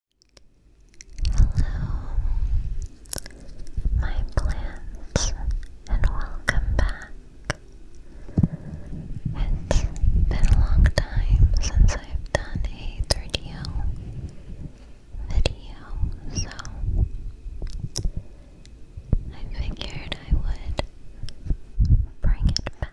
Hello, my plants, and welcome back. It's been a long time since I've done a 3DO video, so I figured I would bring it back.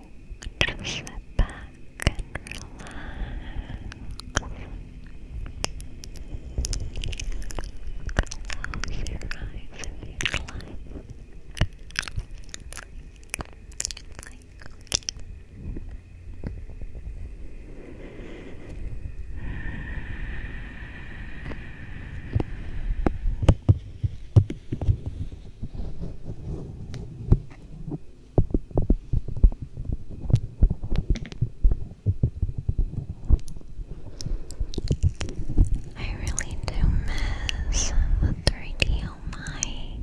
Just sit back Close your eyes if you I really do miss the 3DO mic.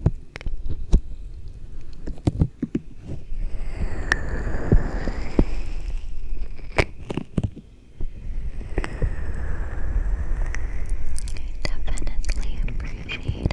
definitely appreciate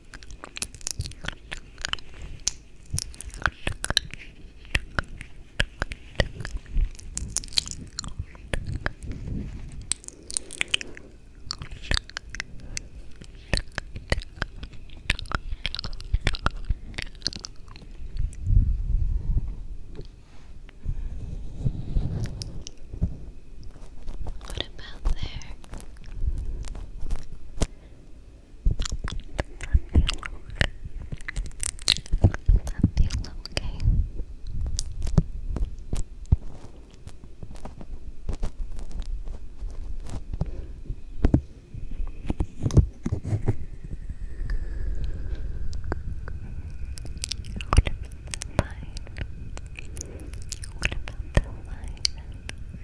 What about there? I feel okay. What about the line? What about the line?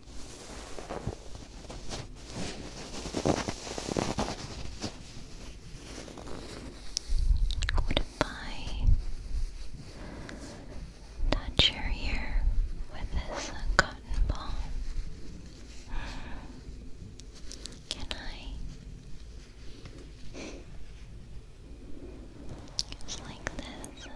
What if touch your ear with this cotton ball? Can I? It's like this.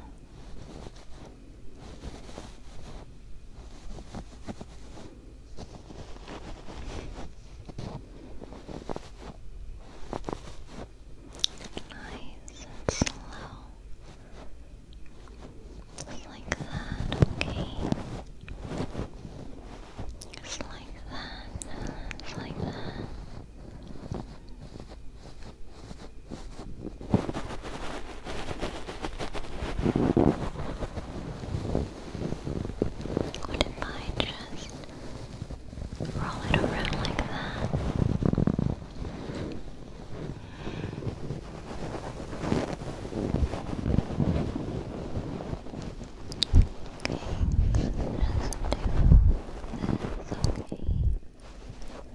Nice and slow. Just like that, okay? Just like that, just like that. What if I just roll it around like that? Okay, let's just do this, okay. Okay.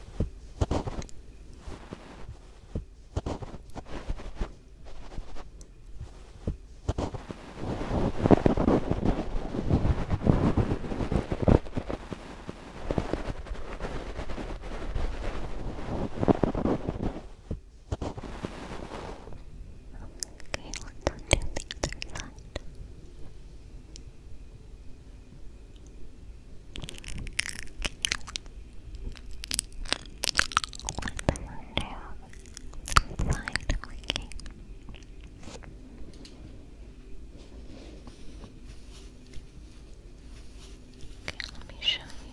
Okay, let's undo the other side. Okay, let me show you.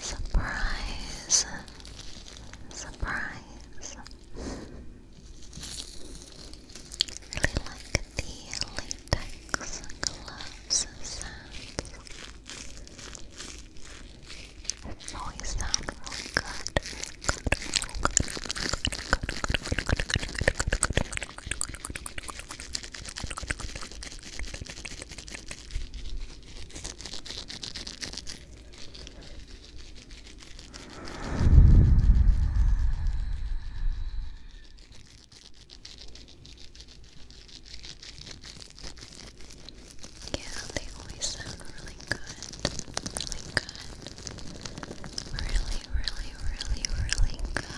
Surprise! Surprise! Really like the latex gloves sound. It's always good yeah, they always sound really good. Really good. Really, really, really, really good.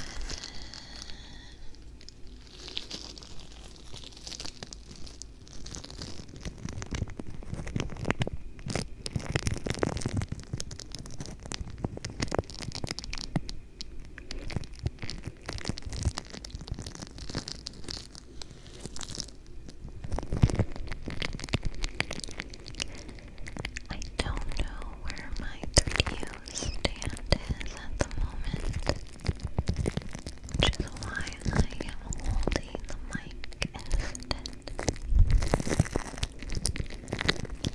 I don't know where my 3DO stand is at the moment which is I am holding the mic instead.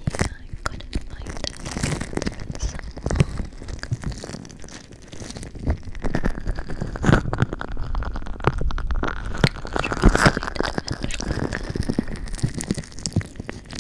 Yeah, I couldn't find it again for so long. I tried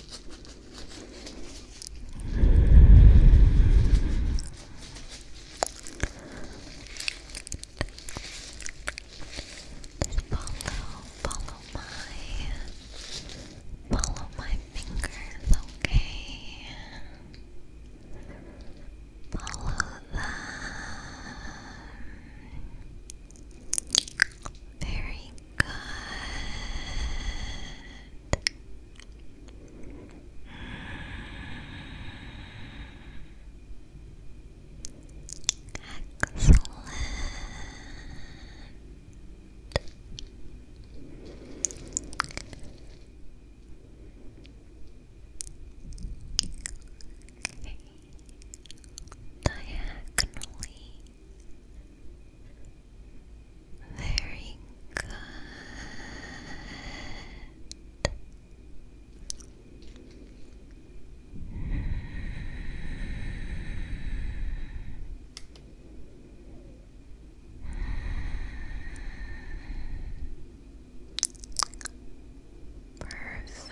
Follow, follow my, follow my fingers, okay? Follow them. Very good. Excellent. Diagonally very good. Perfect.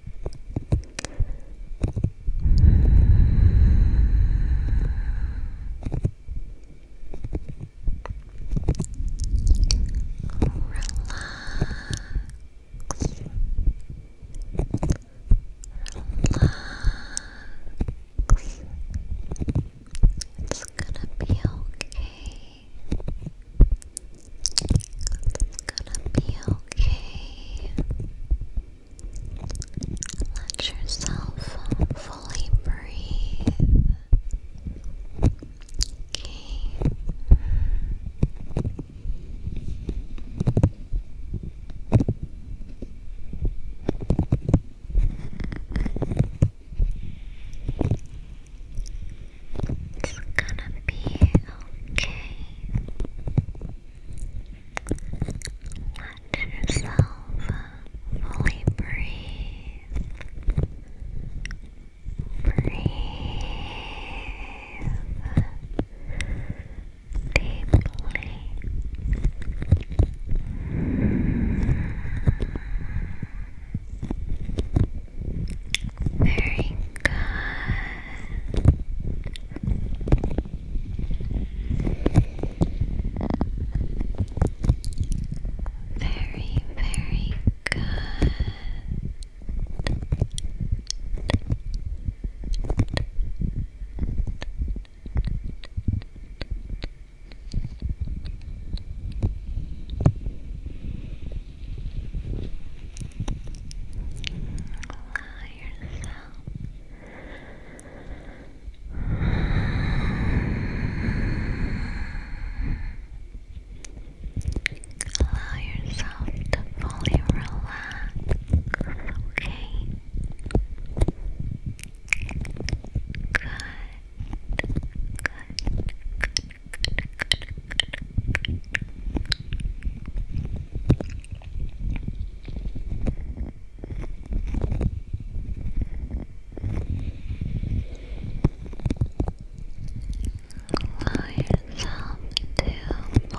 Relax. It's gonna be okay. It's gonna be okay. Let yourself fully breathe. Okay. It's gonna be okay. Let yourself fully breathe. Breathe deeply. Very good. Very, very good. Allow yourself Allow yourself to fully relax, okay? Good, good, Allow yourself to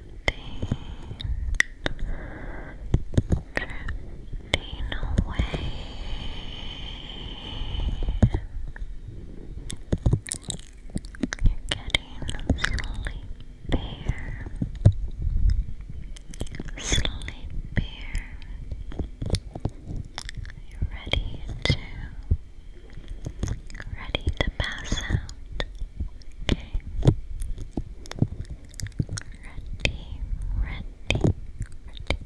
drifting, away. You're getting sleepier, sleepier. You're ready to, ready to pass out. Okay. Ready, ready, ready, ready,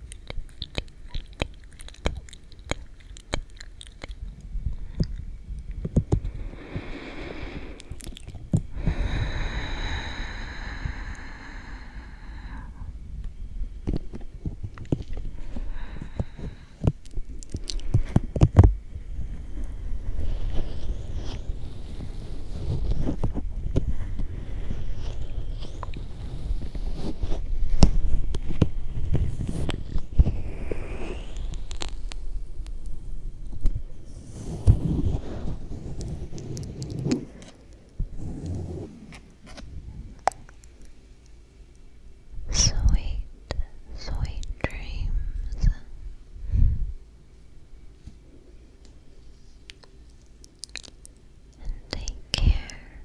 Sweet, sweet dreams. And take care.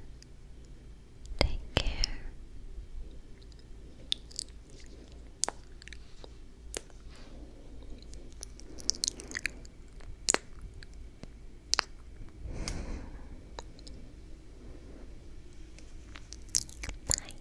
Take care. Bye.